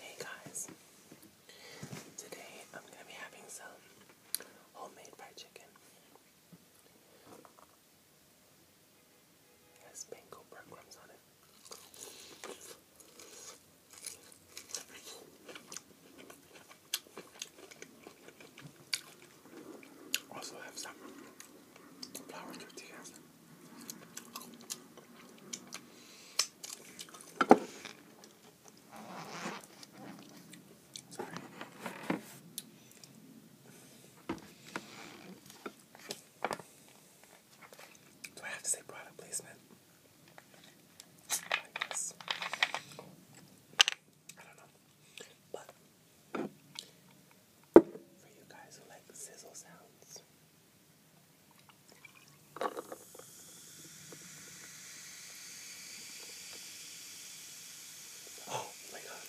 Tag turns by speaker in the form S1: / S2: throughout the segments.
S1: Hey guys, today I'm gonna be having some homemade fried chicken. has panko breadcrumbs on it. Also have some flour tortillas. Sorry. Do I have to say product placement? Like this. I don't know. But for you guys who like sizzle sounds, Oh my god.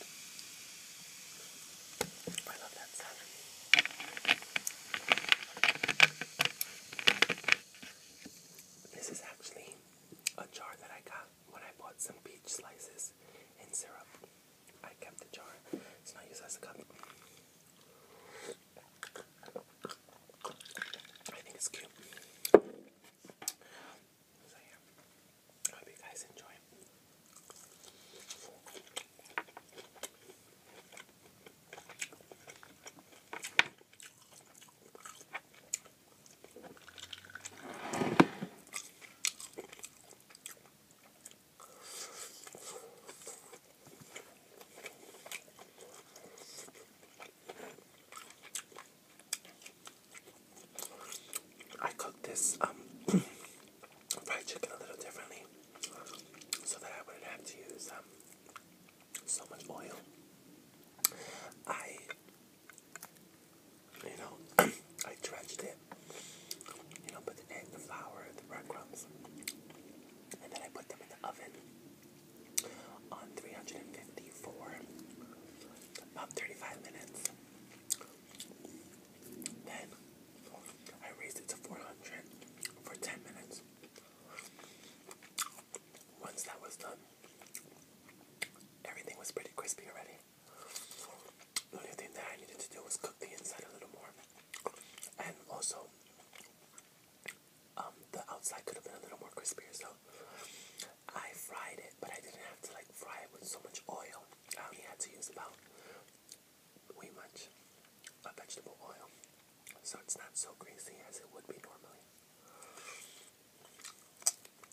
S1: I love that sound. This is actually a jar that I got when I bought some peach slices in syrup. I kept the jar. It's not used as a cup. I think it's cute. So yeah, hope you guys enjoy. I cook this um fried chicken a little differently so that I wouldn't have to use um so much oil. I you know I dredged it you know, put the egg, the flour, the breadcrumbs, and then I put them in the oven on 350 for about 35 minutes. Then I raised it to 400 for 10 minutes. Once that was done, everything was pretty crispy already. The only thing that I needed to do was cook the inside a little more. And also, um, the outside could have been a little more crispy. so I fried it, but I didn't have to like fry it with so much oil. I only had to use about way much uh, vegetable oil, so it's not so greasy as it would be normally.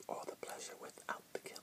S1: All the pleasure without the guilt.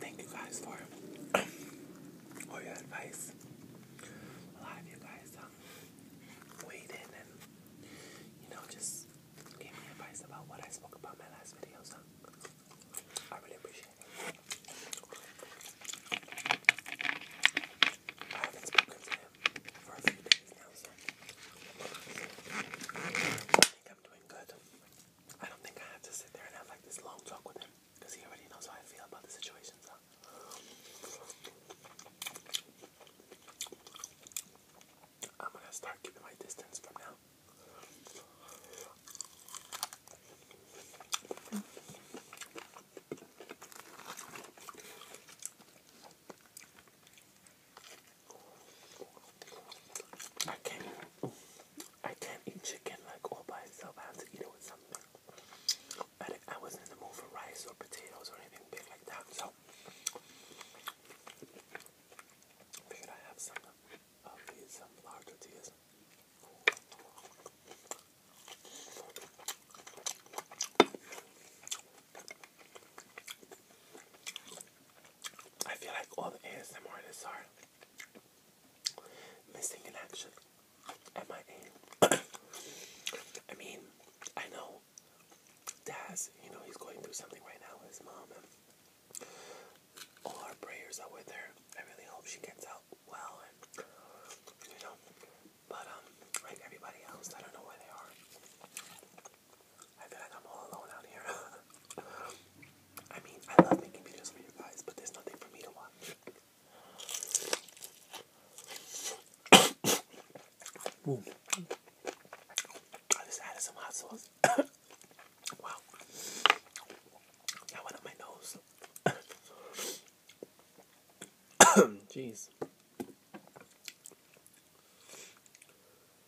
S1: Thank you guys for all your advice. A lot of you guys um, weighed in and you know just gave me advice about what I spoke about my last video. I really appreciate it. I haven't spoken to him for a few days now, I think I'm doing good. I don't think I have to sit there and have like this long talk with him because he already knows how I feel about the situation. So. I'm gonna start keeping my distance from now. I can't. I can't eat chicken like all by itself. I have to eat it with something. But I wasn't in the mood for rice or potatoes or anything big like that, so figured I have some of these larger teas. I feel like all the ASMR artists are missing in action at my end. I mean, I know Daz, you know, he's going through something right now with his mom, and all our prayers are with her. I really hope she gets out well, and you know, but um, like everybody else, I don't know where they are. I feel like I'm all alone out here. I mean, I love making videos for you guys, but there's nothing for me to watch. Ooh. I just added some hot sauce. wow. That went up my nose. Jeez.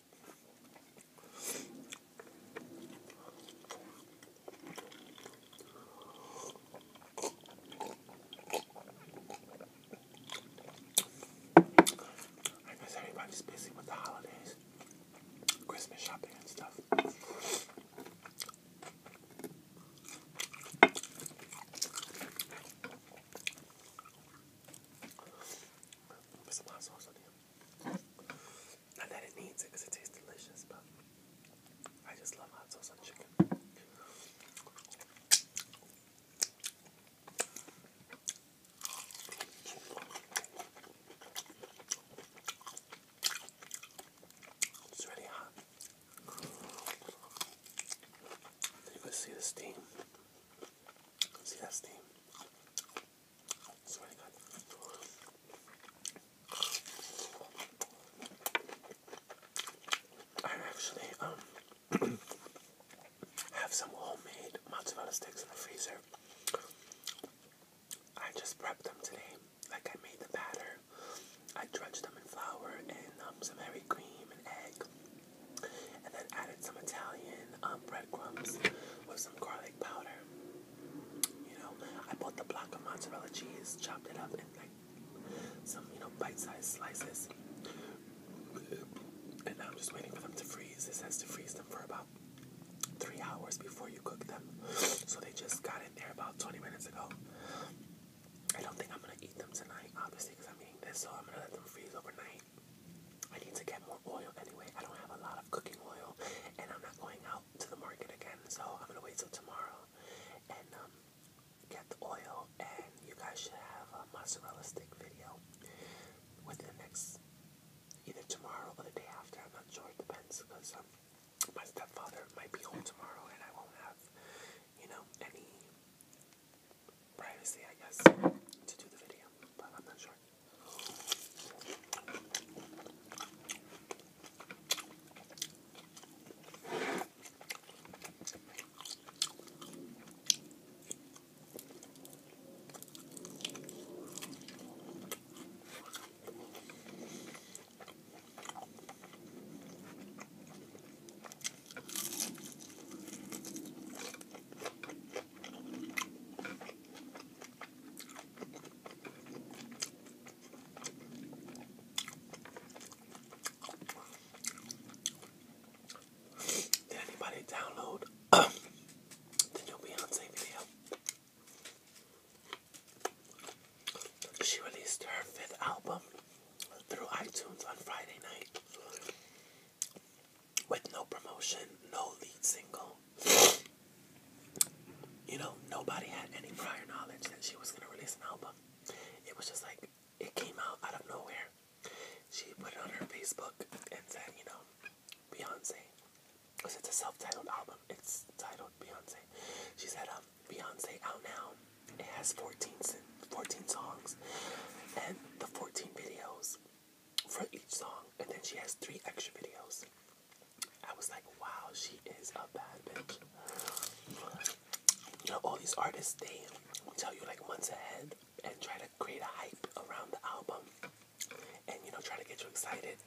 S1: I guess everybody's busy with the holidays, Christmas shopping and stuff. Put some hot sauce on here. Not that it needs it it tastes delicious, but I just love hot sauce on chicken. It's really hot. You can see the steam. See that steam? Swear to God. I actually um have some homemade mozzarella sticks in the freezer. I just prepped them today. Like I made the batter. I dredged them in flour and um, some heavy cream and egg and then added some Italian um, breadcrumbs with some garlic powder. You know, I bought the block of mozzarella cheese, chopped it up in like some, you know, bite-sized slices. And now I'm just waiting for them to freeze. It says to freeze them for about three hours before you cook them. So they just got in there about 20 minutes ago. I don't think I'm gonna eat them tonight, obviously, because I'm eating this, so I'm gonna let them freeze overnight. I need to get more oil anyway. I don't have a lot of cooking oil, and I'm not going out to the market again, so I'm gonna wait till tomorrow and um, get the oil. And you guys should have a mozzarella stick video within the next either tomorrow or the day after. I'm not sure. It depends because um, my stepfather might be home tomorrow, and I won't have you know any privacy, I guess, to do the video, but I'm not sure. Did anybody download the new Beyonce video? She released her fifth album through iTunes on Friday night with no promotion, no lead single. You know, nobody had any prior knowledge that she was gonna release an album. It was just like it came out out of nowhere. She put it on her Facebook and said, you know, Beyonce, because it's a self-titled album. It's titled Beyonce. She said, um, Beyonce out now. It has 14, songs and the 14 videos for each song, and then she has three extra videos. I was like, wow, she is a bad bitch. You know, all these artists, they tell you like months ahead and try to create a hype around the album and, you know, try to get you excited.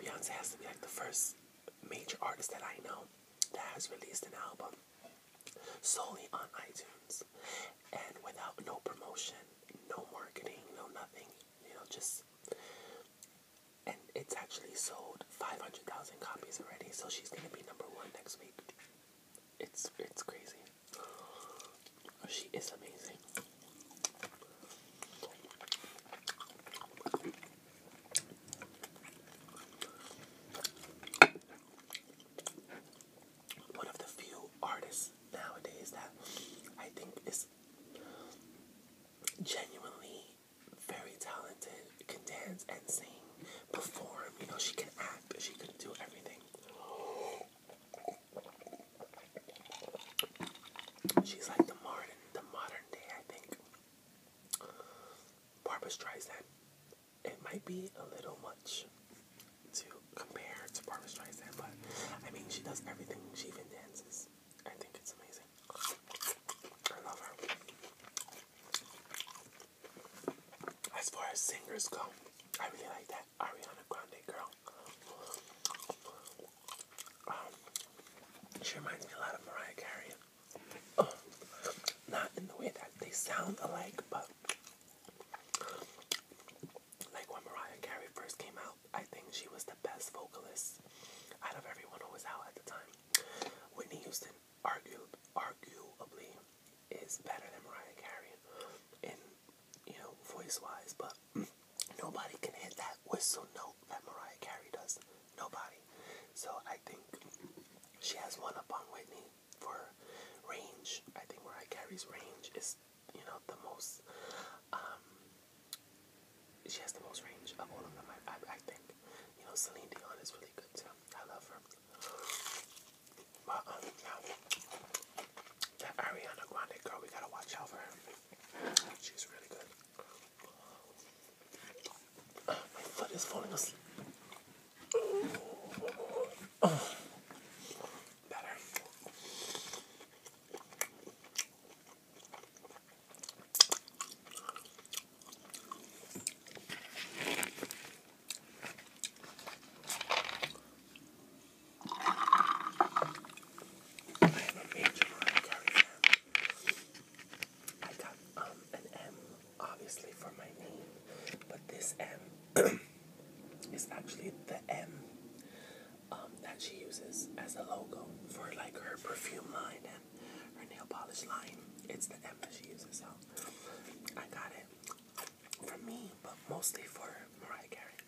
S1: Beyonce has to be like the first major artist that I know that has released an album solely on iTunes and without no promotion, no marketing, no nothing, you know, just and it's actually sold 500,000 copies already, so she's gonna be number one next week. It's it's crazy. She is amazing one of the few artists nowadays that I think is genuinely very talented, can dance and sing, perform, you know, she can act, she can do everything. She's like the modern the modern day, I think. Barbara Streisand it might be a little much to compare to Barbara Streisand, but I mean, she does everything. She even dances. I think it's amazing. I love her. As far as singers go, I really like that Ariana Grande girl. Um, she reminds me a lot of Mariah Carey not in the way that they sound alike, but like when Mariah Carey first came out, I think she was the best vocalist out of everyone who was out at the time. Whitney Houston, argue, arguably, is better than Mariah Carey in, you know, voice wise, but nobody can hit that whistle note that Mariah Carey does. Nobody. So I think she has one up on Whitney for range. I think where I carry's range is, you know, the most. Um, she has the most range of all of them. I, I, think. You know, Celine Dion is really good too. I love her. But um, that Ariana Grande girl, we gotta watch out for her. She's really good. My foot is falling asleep. Oh. Better. I am a major I got um, an M, obviously, for my name, but this M is actually the M um, that she uses as a logo for like her perfume line and her nail polish line. It's the M that she uses, so I got it for me, but mostly for Mariah Carey.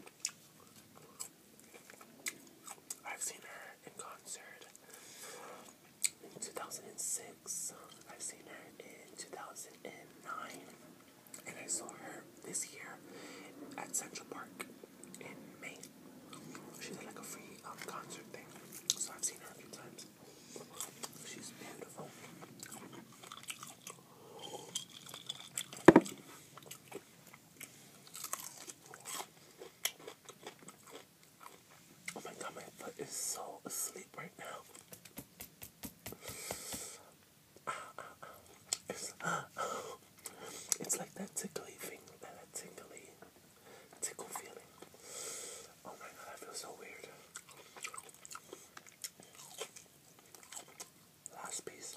S1: I've seen her in concert. In 2006. I've seen her in 2009, and I saw her this year at Central Park in May. She did like a free um, concert thing, so I've seen her a few times. She's beautiful. Oh my god, my foot is so asleep right now. Uh, uh, uh. It's, uh, it's like that tickly thing, that tingly tickle feeling. Oh my god, I feel so weird. Last piece.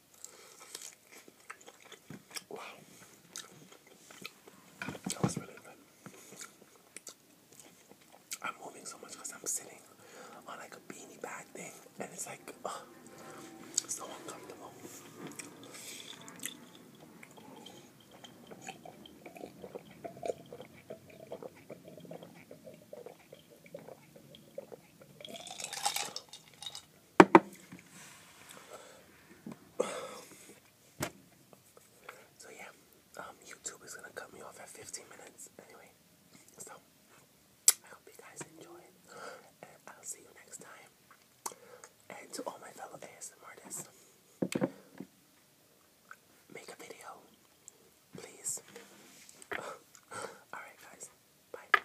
S1: Wow. That was really good. I'm moving so much because I'm sitting on like a beanie bag thing and it's like so uncomfortable. So yeah, um, YouTube is gonna cut me off at 15 minutes anyway. So I hope you guys enjoyed, and I'll see you next time. And to all my fellow ASM make a video, please. Alright, guys, bye.